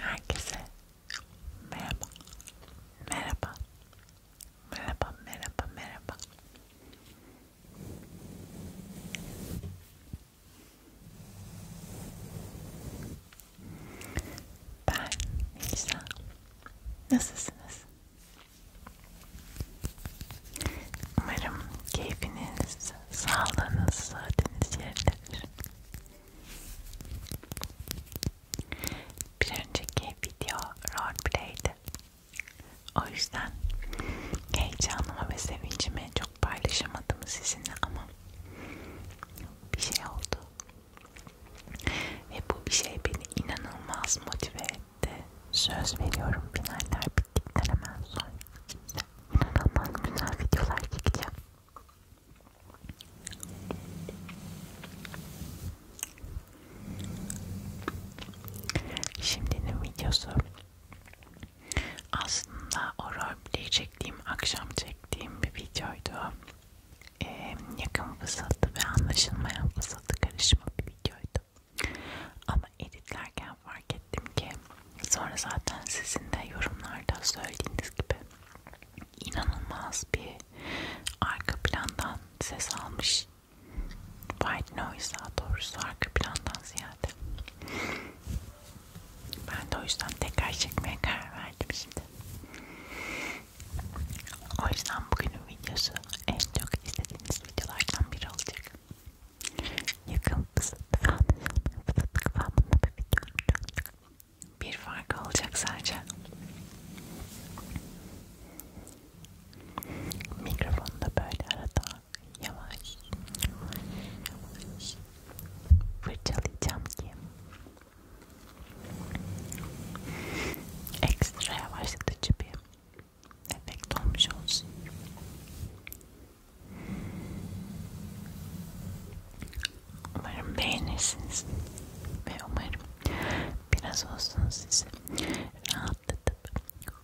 Herkese merhaba, merhaba, merhaba, merhaba, merhaba. Ben Melisa. Nasılsınız? Umarım keyfiniz, sağlığınız, saatiniz yerindedir. Bir önceki video roleplay'di. O yüzden heyecanımı ve sevincimi çok paylaşamadım sizinle ama bir şey oldu. Ve bu bir şey beni inanılmaz motive etti. Söz veriyorum finaller bittikten hemen sonra. İnanılmaz güzel videolar çekeceğim. Şimdinin videosu aslında o roleplay çektiğim, akşam çektiğim bir videoydu. Ee, yakın fısıltı ve anlaşılmayan fısıltı karışma bir videoydu. Ama editlerken fark ettim ki Sonra zaten sizin de yorumlarda söylediğiniz gibi inanılmaz bir arka plandan ses almış. White noise daha doğrusu arka plandan ziyade. Ben de o yüzden tekrar çekmeye karar verdim şimdi. O yüzden bugünün videosu en çok istediğiniz videolardan biri olacak. Yakın fısıltı falan, fısıltı falan bir video olacak. Bir fark olacak sadece. Mikrofonu da böyle arada yavaş yavaş fırçalayacağım ki ekstra yavaşlatıcı bir efekt olmuş olsun. Umarım beğenirsiniz ve umarım biraz olsun sizi rahatlatıp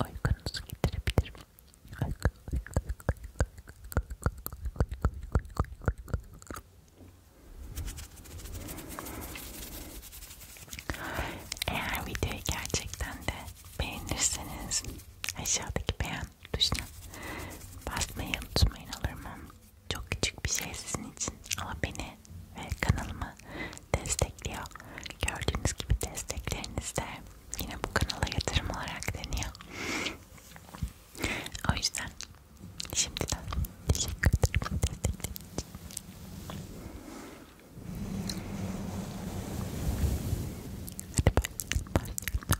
uykunuzu getirebilirim. Uyku, uyku, uyku, uyku, uyku, uyku, uyku. Eğer videoyu gerçekten de beğenirseniz aşağıdaki beğen tuşuna basmayı unutmayın olur mu? Çok küçük bir şey sizin için ama beni ve kanalımı destekliyor. Gördüğünüz gibi destekleriniz de yine bu kanala yatırım olarak deniyor. O yüzden şimdiden teşekkür ederim destekleriniz için. Hadi bak, bak, bak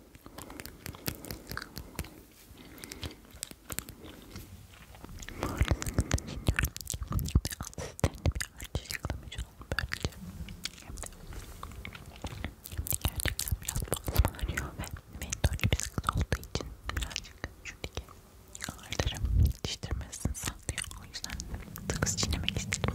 Bu arada sıkıntı çekiyorum. Ve alt üstlerinde bir harç yakalamış olalım böylece. Hem de, hem de gerçekten biraz boğazım ağrıyor ve mentolü bir sıkıntı olduğu için birazcık şu dike ağırlarım yetiştirmesini sağlıyor. O yüzden sıkız çiğnemek istedim.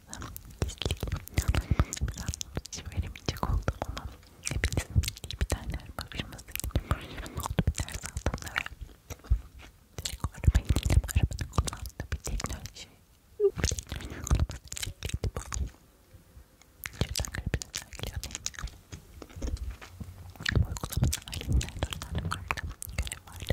biraz gizliyim. Biraz söylemeyecek oldum ama hepinizin bildiği bir tane bakışması gibi oldu bir ders altında ve direkt arabayı dinleyip arabanın kullandığı bir teknoloji bir teknoloji kullanması gerekliydi bu. İçeriden garibine sergiliyor değil mi? Bu uygulamada ailemden dört tane farklı görev vardı.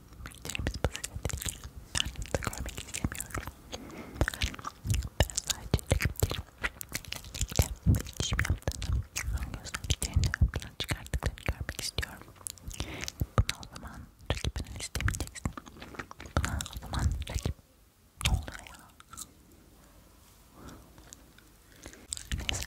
James Buzzi'ye dedi ki ben de görmek istemiyorum. Ben sadece elektrikle iletişim yaptığını, gözlemcilerini önden çıkarttıklarını görmek istiyorum. Buna o zaman rakibini istemeyeceksin. Buna o zaman rakip ne oluyor ya? Neyse.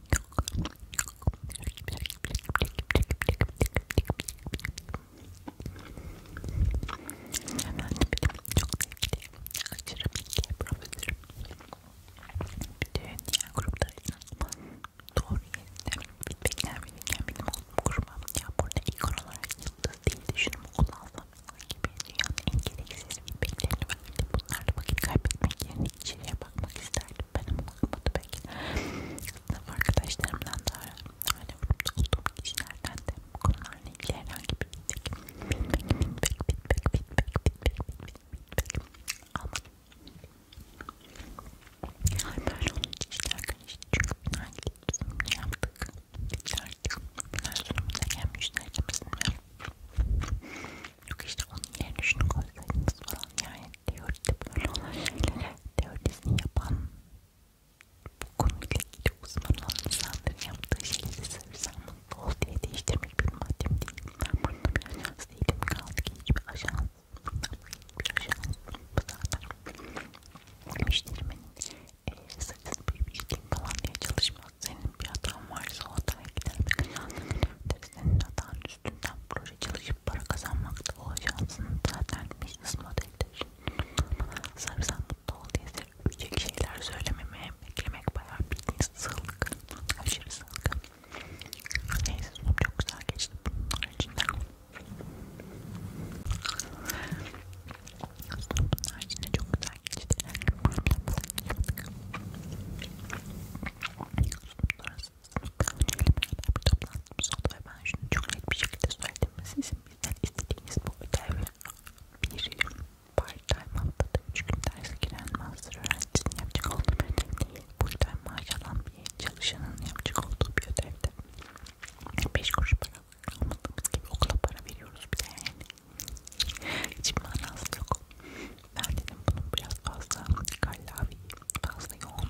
Hemen benim çok sevdiğim aşırı bilgiye profesörüm. Bir de diğer gruplara inanılmaz doğru yerinde feedbackler verirken benim olduğum gruba ya burada ilk olarak yıldız değil de şunu mu kullansam gibi dünyanın en gereksiz feedbacklerini verdim. Bunlarla vakit kaybetmek yerine içeriye bakmak isterdim. Ben ama bakmadı belki sınıf arkadaşlarımdan da öyle olduğum kişilerden de bu konularla ilgili herhangi bir feedback feedback feedback feedback feedback feedback feedback almadım. Hatta onun için işte arkadaşlar çünkü final sunumunu yaptık. Bitti artık. Final sunumuna gelmişler kimsin ya. Yok işte onun yerine şunu koysaydınız falan yani teoride böyle olan şeylere teorisini yapan bu konuyla ilgili uzman olan insanların yaptığı şeyleri seversen mutlu ol diye değiştirmek bir maddim değil. Ben burada bir ajans değilim. Kaldı ki hiçbir ajans. Hiçbir ajans. Bu zaten müşterimin e, saçını büyümüştüm falan diye çalışmaz. Senin bir hatan varsa o hataya gider. Senin hatan üstünden proje çalışıp para kazanmak da o ajansın zaten business modelidir. Sarımsak mutlu ol diye sevecek şeyler söylememeye beklemek bayağı bildiğiniz sığlık, aşırı sığlık. Neyse sunum çok güzel geçti bunun içinden. Sunum bunun haricinde çok güzel geçti. Sunum sonrası beraber toplantımız oldu ve ben şunu çok net bir şekilde söyledim. Sizin bizden istediğiniz bu ödev bir part-time haftada 3 gün derse giren master öğrencisinin yapacak olduğu bir ödev değil. Full-time maaş alan bir çalışanın yapacak olduğu bir ödevde. 5 kuruş para almadığımız gibi okula para veriyoruz bir de yani. Hiç manası yok. Ben dedim bunun biraz fazla kallavi, fazla yoğun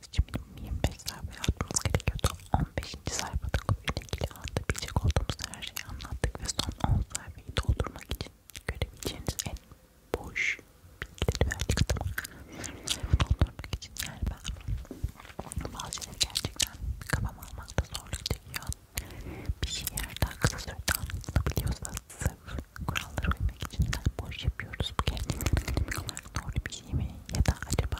konuşmamız için minimum 25 sayfa yazmamız gerekiyordu. 15. sayfada konuyla ilgili anlatabilecek olduğumuz her şeyi anlattık ve son 10 sayfayı doldurmak için görebileceğiniz en boş bilgileri verdik ama bunu doldurmak için yani ben bazı şeyleri gerçekten kafam almakta zorluk çekiyor. Bir şeyler daha kısa sürede anlatabiliyorsa sırf kurallara uymak için boş yapıyoruz. Bu kendimiz olarak doğru bir şey mi ya da acaba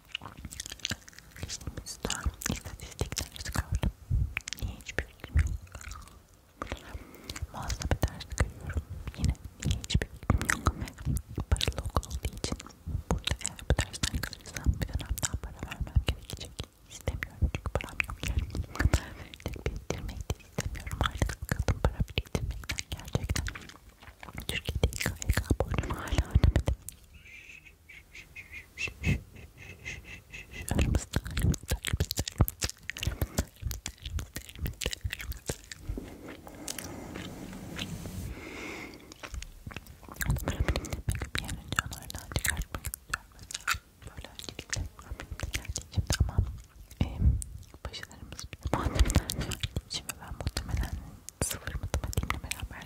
Listemizde istatistikler çıkardım. Niye hiçbir fikrim yok? Muazzam bir ders görüyorum. Yine niye hiçbir fikrim yok? Paralı okul olduğu için burada eğer bu dersten kalırsam bir dönemden para vermem gerekecek. İstemiyorum çünkü param yok yani. Biriktirmek de istemiyorum artık. Sıkıldım para biriktirmekten gerçekten. Türkiye'de İKK borcumu hala ödemedim. Aramızda, aramızda, aramızda, aramızda, aramızda, aramızda. Onları bilinmek bir an önce onlardan çıkartmak istiyorum mesela. Böyle öncelikle Rabbimde geldiği için tamam. E, başlarımız bir de muhtemelen geldiği için ve ben muhtemelen sıfır matematiğimle beraber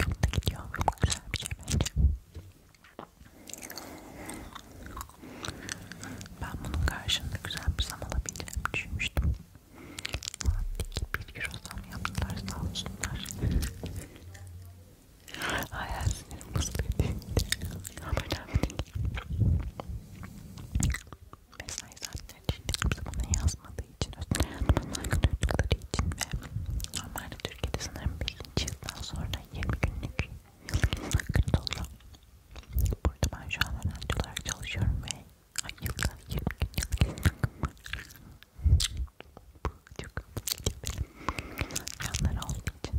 çok da gidiyor. Çok güzel bir şey bence. Ben bunun karşında güzel bir zam alabileceğimi düşünmüştüm. Saatlik bir euro zam yaptılar sağ olsunlar. Hayal sinirim bozuluyor değil Yapacağım değil. Şey. Mesai saatleri için kimse bana yazmadı olmadığı için, özel hayatımın saygı duydukları için ve normalde Türkiye'de sanırım 1. yıldan sonra 20 günlük yıllık izin hakkınız oluyor. Burada ben şu an öğrenci olarak çalışıyorum ve ay yılda 20 gün yıllık izin hakkım var. Bu çok yanları olduğu için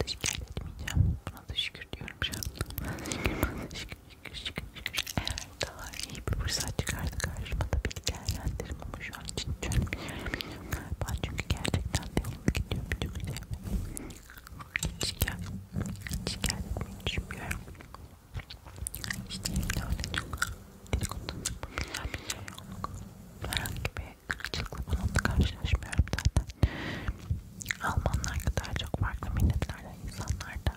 teşekkür etmeyeceğim. Buna da şükür diyorum şu an. Şükür, şükür, şükür, şükür. Evet daha iyi bir fırsat çıkardı karşıma tabii ki değerlendirim ama şu an için çözmüyorum galiba çünkü gerçekten de yoluna gidiyor bütün güzelime hiç şikayet, şikayet etmeyi düşünmüyorum işte evde öyle çok dedikodum yapabilen bir şey yok herhangi bir kırıcılıkla falan da karşılaşmıyorum zaten Almanlar kadar çok farklı milletlerden insanlar da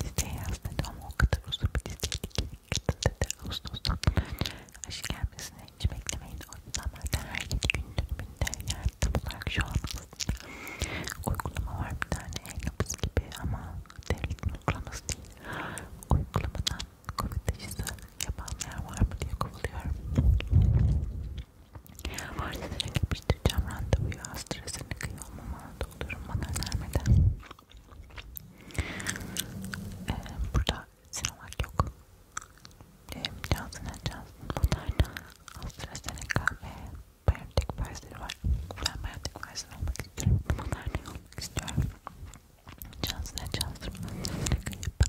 Listeye yazmadı ama o kadar uzun bir listeydi ki dedi Ağustos'tan aşı gelmesini hiç beklemeyin. O yüzden ben de her iki gün dönümünde yani tam olarak şu an uygulama var bir tane e-nabız gibi ama devletin uygulaması değil. Uygulamadan covid aşısı yapanlar var mı diye kovuluyorum. Varsa direkt yapıştıracağım randevuyu az stresini kıyamama doluyorum bana önermeden ee, burada Sinovac yok ee, Johnson Johnson bunlarda AstraZeneca ve Biontech Pfizer var ben Biontech Pfizer olmak istiyorum bunlar ne olmak istiyorum Johnson Johnson AstraZeneca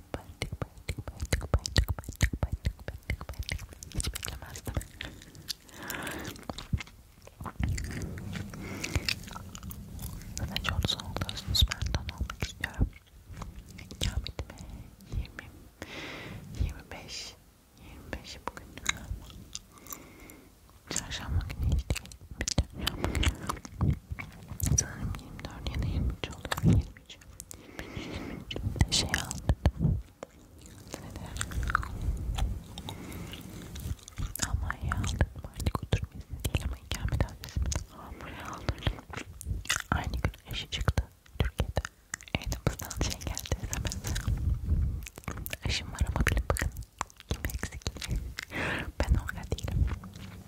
Batık batık batık batık batık batık batık batık Hiç beklemezdim. Zaten çok soğukluyorsunuz. Ben don olmak istiyorum. İkametime 20, 25, 25 bugün. Çarşamba günü işte. Sanırım 24 ya da 23 oluyor. şey aldım. Almanya'ya aldırdım artık oturma izni değil ama ikamet adresimden Almanya'ya aldırdım. Aynı gün eşi çıktı Türkiye'de. Elimizden şey geldi SMS. Eşim var ama bilin bakın kim eksik. ben orada değilim.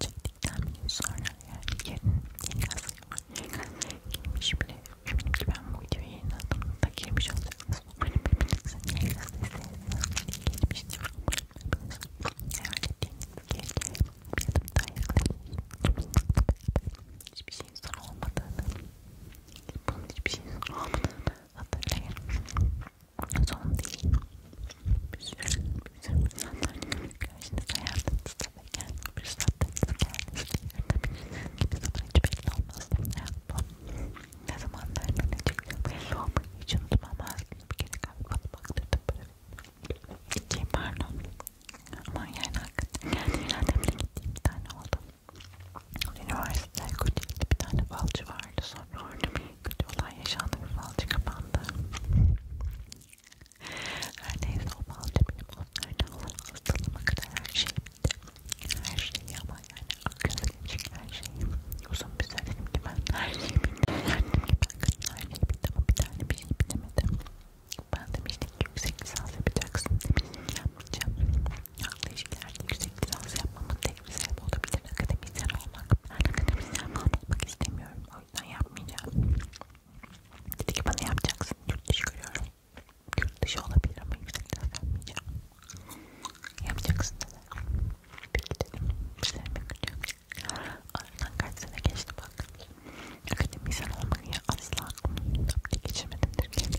Çektikten bir gün sonra yani yarın yeni gazeteyim var. Yeni gazeteye girmiş bile. Eminim ki ben bu videoyu yayınladığımda da girmiş olacaksınız. Umarım hepinizin yeni gazetesi gelmiştir. Umarım hepinizin hayal ettiğiniz geleceğe bir adım daha yaklaşır. Hiçbir şeyin son olmadığını, bunun hiçbir şeyin son olmadığını hatırlayın. Son değil güzel, güzel insanların karşınıza hayatınızda ve kendi fırsatlarınızı kendinizle yaratabilirsiniz. Kimi zaman hiç belli olmaz. Hayat bu. Ne zaman dayanabilecek belli olmayı hiç unutmam. Aslında bir kere kalbimi baktırdım böyle. İki pardon. Aman yani hakikaten geldiğimden de bile gittiğim bir tane oldu. Üniversitede Kocaeli'de bir tane falcı vardı. Sonra orada bir kötü olay yaşandı. Bir falcı kapandı. Her neyse o balcı benim onlardan olan hastalığıma kadar her şey bitti. Her şey ama yani akıl gelecek her şey. Uzun bir süre dedim ki ben her şey bitti. Yani ben kadın her şey bitti ama bir tane bir şey bitemedim. Ben demiştim ki yüksek lisans yapacaksın demiştim yapmayacağım. Aklı ilişkilerde yüksek lisans yapmamın tek bir sebebi olabilir akademisyen olmak. Ben akademisyen olmak istemiyorum. O yüzden yapmayacağım. Dedi ki bana yapacaksın. Yurt dışı görüyorum. Yurt dışı olabilir ama yüksek lisans yapmayacağım. Yapacaksın dedi. Peki dedim. İşlerime gidiyorum. Aradan kaç sene geçti bak. Akademisyen olmayı asla aklımda geçirmedim Türkiye'de.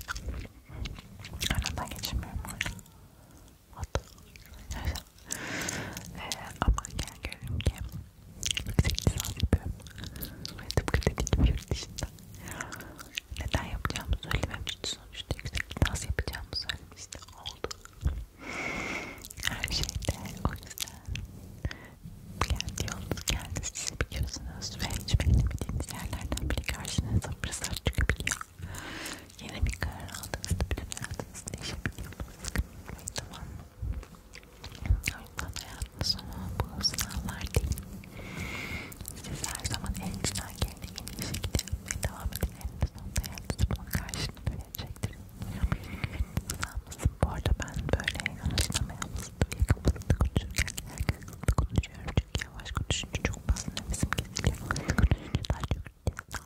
Aradan geçirmiyorum. Hatta. Neyse. Ee, ama yani görüyorum ki yüksek lisans yapıyorum ve tıpkı dediğim gibi yurt dışında neden yapacağımı söylememişti sonuçta yüksek lisans yapacağımı söylemişti oldu her şeyde o yüzden kendi yolunuz kendiniz siz biliyorsunuz ve hiç beklemediğiniz yerlerden bile karşınıza fırsat çıkabiliyor yeni bir karar aldığınızda bütün hayatınız değişebiliyor bunu sıkıntı etmeyin tamam mı? O yüzden hayatın sonu bu sınavlar değil. Siz her zaman elinizden gelen en iyi şekilde yapmaya devam edin. Elinde sonunda hayatınız bunun karşılığını verecektir. Sınavımızın bu arada ben böyle anlaşılamaya mısındım, yakın mısındım konuşurken herkes hızlı konuşuyorum. Çünkü yavaş konuşunca çok fazla nefesim kesiliyor. Hızlı konuşunca daha çok rap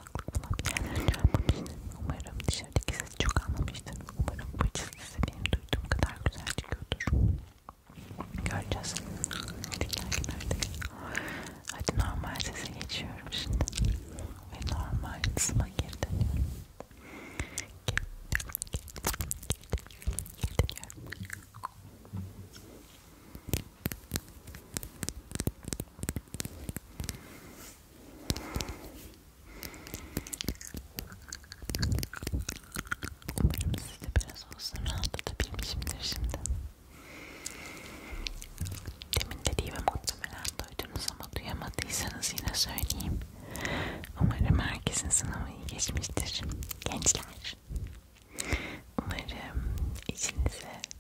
kulaklık bulabilirler. Umarım dışarıdaki ses çok anlamıştır. Umarım bu çizgi size benim duyduğum kadar güzel çıkıyordur. Göreceğiz. Hadi normal sese geçiyorum şimdi. Ve normal sesime geri dönüyorum. Geri, geri, geri, geri dönüyorum. Umarım siz de biraz olsun rahatlatabilmişimdir şimdi. Demin dediğimi muhtemelen duydunuz ama duyamadıysanız yine söyleyeyim. Umarım herkesin sınavı iyi geçmiştir gençler. Umarım içinize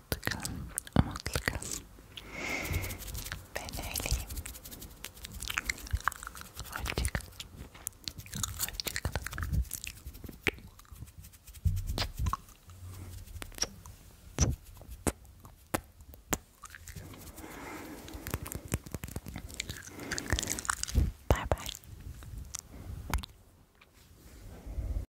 mutlu kalın, umutlu kalın. Ben öyleyim. Hoşçakalın. Hoşçakalın. Bye bye.